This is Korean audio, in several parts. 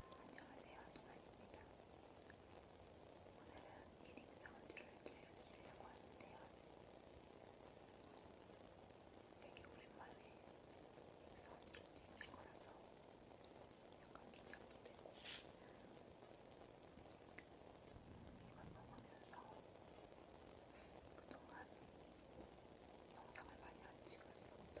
안녕하세요, 동아입니다 오늘은 리링 사운드를 들려드리려고 하는데요. 되게 오랜만에 리링 사운드를 찍는 거라서 약간 긴장도 되고 이걸 먹으면서 그동안 영상을 많이 안 찍었었던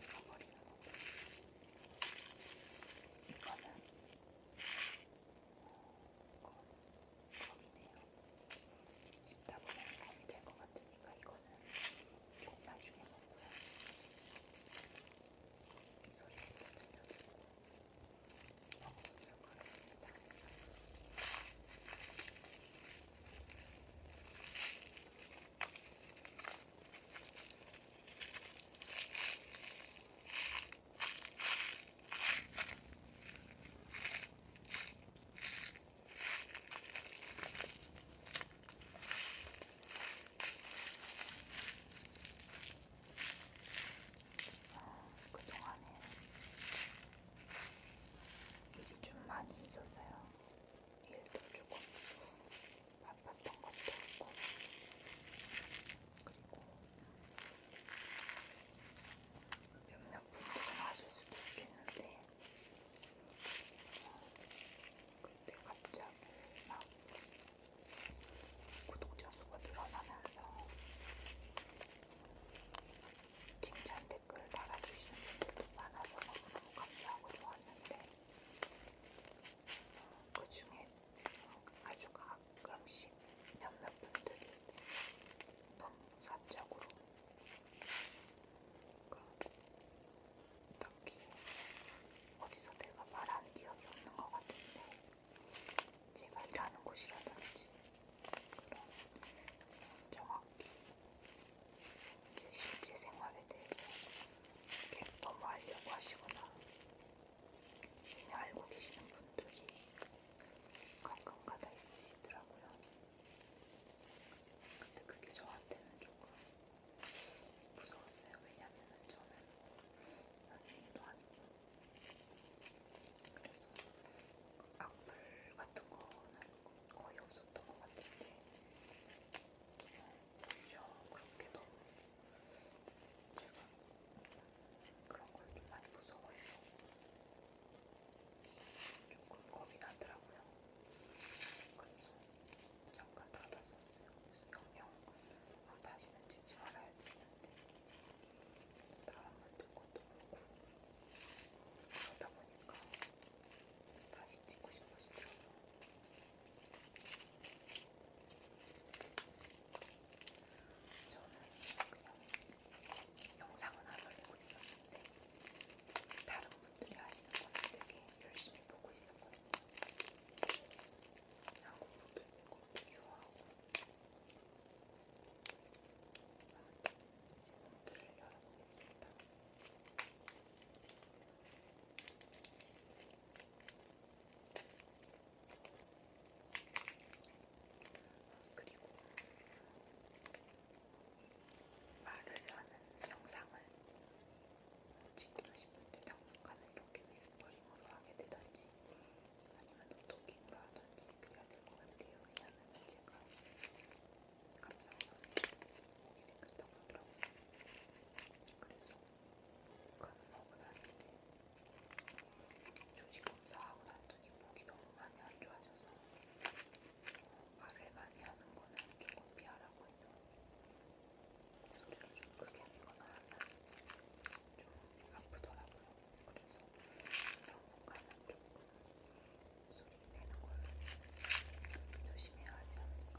들어버리는 거고 이거는 검, 검이네요. 씹다 보면 검이 될 것 같으니까 이거는 좀 나중에 먹고요. 이 소리를 들려드리고 먹어보도록 하겠습니다. 그동안에 일이 좀 많이 있었어요. 일도 조금 있고 바빴던 것도 있고 그리고 몇몇 분들은 아실 수도 있겠는데 그때 갑자기 막 구독자 수가 늘어나면서 칭찬 댓글을 달아주시는 분들도 많아서 너무너무 감사하고 좋았는데 그 중에 아주 가끔씩 몇몇 분들이 너무 사적으로 그러니까 딱히 어디서 내가 말한 기억이 없는 것 같은데 제가 일하는 곳이라든지 그런 정확히 이제 실제 생활에 대해서 너무 알려고 하시거나 이미 알고 계시는 분들이 가끔가다 있으시더라고요. 근데 그게 저한테는 조금 무서웠어요. 왜냐면은 저는 연예인도 아니고 그래서 악플 같은 거는 거의 없었던 것 같은데. 음, 오히려 그렇게 너무 제가 그런 걸 좀 많이 무서워해서 조금 겁이 나더라고요. 그래서 잠깐 닫았었어요. 그래서 영영 아, 다시는 찍지 말아야지 했는데 다른 분들 것도 그렇고 그러다 보니까 다시 찍고 싶어지더라고요. 저는 그냥 영상은 안 올리고 있었는데 다른 분들이 하시는 거는 되게 열심히 보고 있었거든요. 하고 부분이고 비교하고 아무튼 지금 문들을 열어보겠습니다. 그리고 말을 하는 영상을 찍고 싶은데 당분간은 이렇게 스퍼링으로 하게 되던지 아니면 노토킹으로 하던지 그래야 될 것 같아요. 왜냐면 제가 감상하는 목이 생겼다고 하더라고요. 그래서 겁먹고 났는데 조직 검사하고 났더니 목이 너무 많이 안 좋아져서 말을 많이 하는 거는 조금 피하라고 해서 소리를 좀 크게 하거나 좀 아프더라고요. 그래서 당분간은 조금 소리 내는 걸 조심해야 하지 않을까.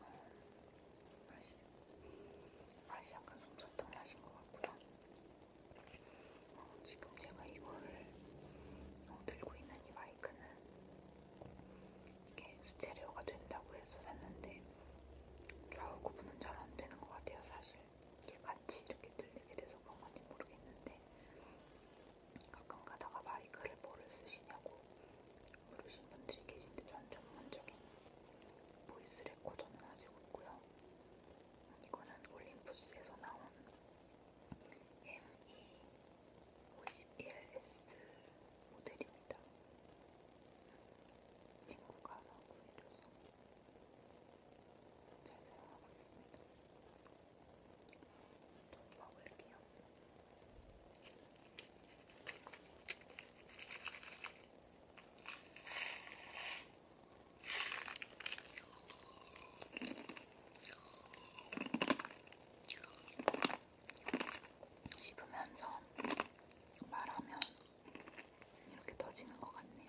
음, 맛이, 맛이 약간 솜사탕 맛인 것 같고요. 어, 지금 제가 이거를 어, 들고 있는 이 마이크는 이렇게 스테레오가 된다고 해서 샀는데 좌우 구분은 잘 안 되는 것 같아요, 사실. 이게 같이 이렇게 들리게 돼서 그런 건지 모르겠는데 가끔 가다가 마이크를 뭐를 쓰시냐고 모르신 분들이 계신데 전 전문적인 보이스 레코더는 가지고 있고요. 이거는 올림푸스에서 나온 ME51S 모델입니다. 친구가 하나 구해줘서 잘 사용하고 있습니다. 또 먹을게요. 씹으면서 말하면 이렇게 터지는 것 같네요.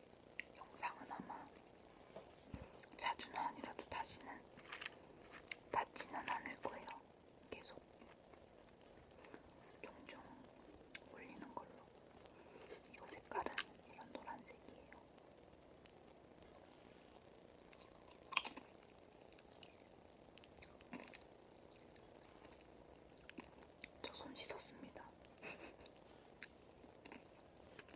영상은 아마 자주는 아니라도 다시는 닿지는 않을 거예요. 계속 종종 올리는 걸로. 이거 색깔은 이런 노란색이에요. 저 손 씻었습니다.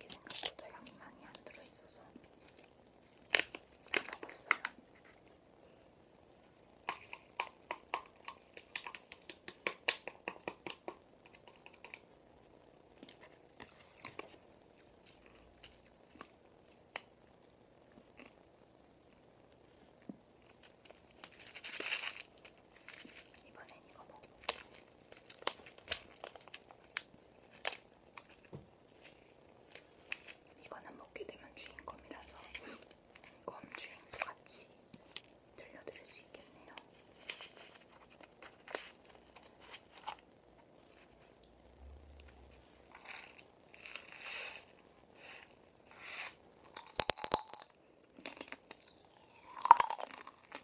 이게 생각보다 양이 많이 안 들어있어서 다 먹었어요. 이번엔 이거 먹어. 이거는 먹게 되면 주인검이라서 검 주인도 같이 들려드릴 수 있겠네요.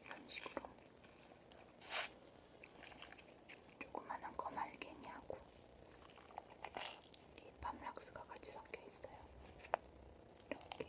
이게 이런 식으로 조그마한 거말갱이하고 이 밤락스가 같이 섞여 있어요. 이렇게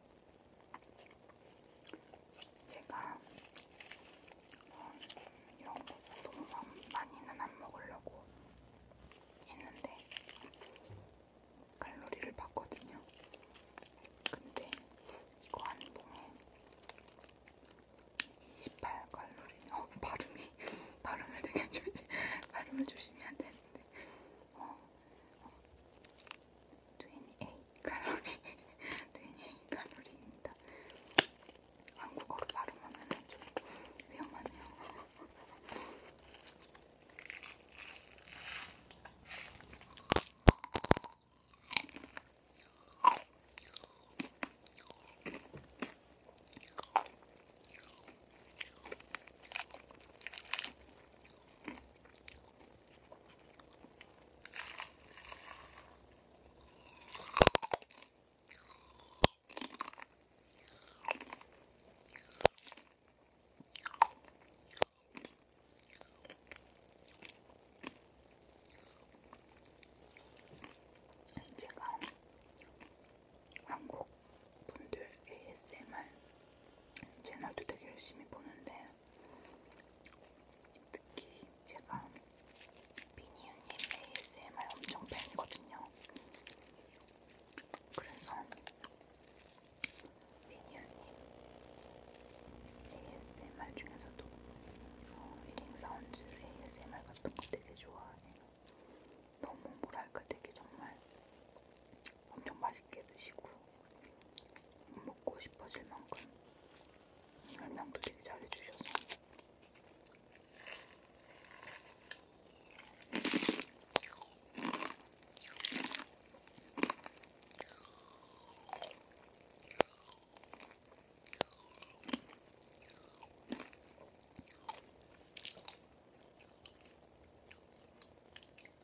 제가 어, 이런 거 너무 많이는 안 먹으려고 했는데 칼로리를 봤거든요. 근데 이거 한 봉에 28칼로리. 어, 발음이 발음을 되게 조, 발음을 조심해야 되는데. 어, 어, 28칼로리 28칼로리입니다. 한국어로 발음하면 좀 위험하네요. 제가 한국 분들 ASMR 채널도 되게 열심히 보는데 특히 제가 비니유님 ASMR 엄청 팬이거든요. 그래서 비니유님 ASMR 중에서도 어, 리링 사운드 ASMR 같은 거 되게 좋아해요. 너무 뭐랄까 되게 정말 엄청 맛있게 드시고 먹고 싶어질 만큼 설명도 되게 잘해주셔서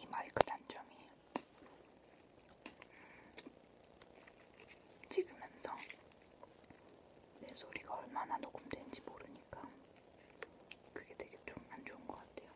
이 마이크 단점이 찍으면서 내 소리가 얼마나 녹음된지 모르니까 그게 되게 좀 안 좋은 것 같아요.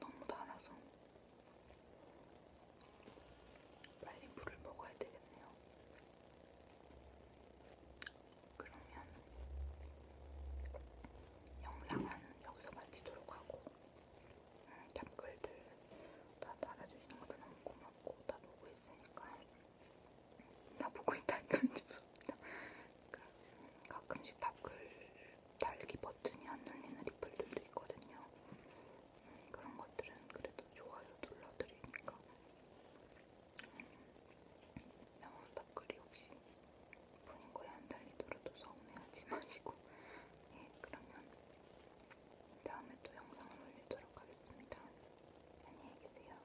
너무 달아서 빨리 물을 먹어야 되겠네요. 그러면 영상은 여기서 마치도록 하고 음, 댓글들 다 달아주시는 것도 너무 고맙고 다 보고 있으니까 음, 다 보고 있다니까 왠지 무섭다. 그러니까 가끔씩 답글 달기 버튼이 안 눌리는 리플들도 있거든요. 음, 그런 것들은 그래도 좋아요 눌러드리니까. 영어 음, 답글이 혹시 본인 거에 안 달리더라도 서운해하지 마시고. 예, 그러면 다음에 또 영상을 올리도록 하겠습니다. 안녕히 계세요.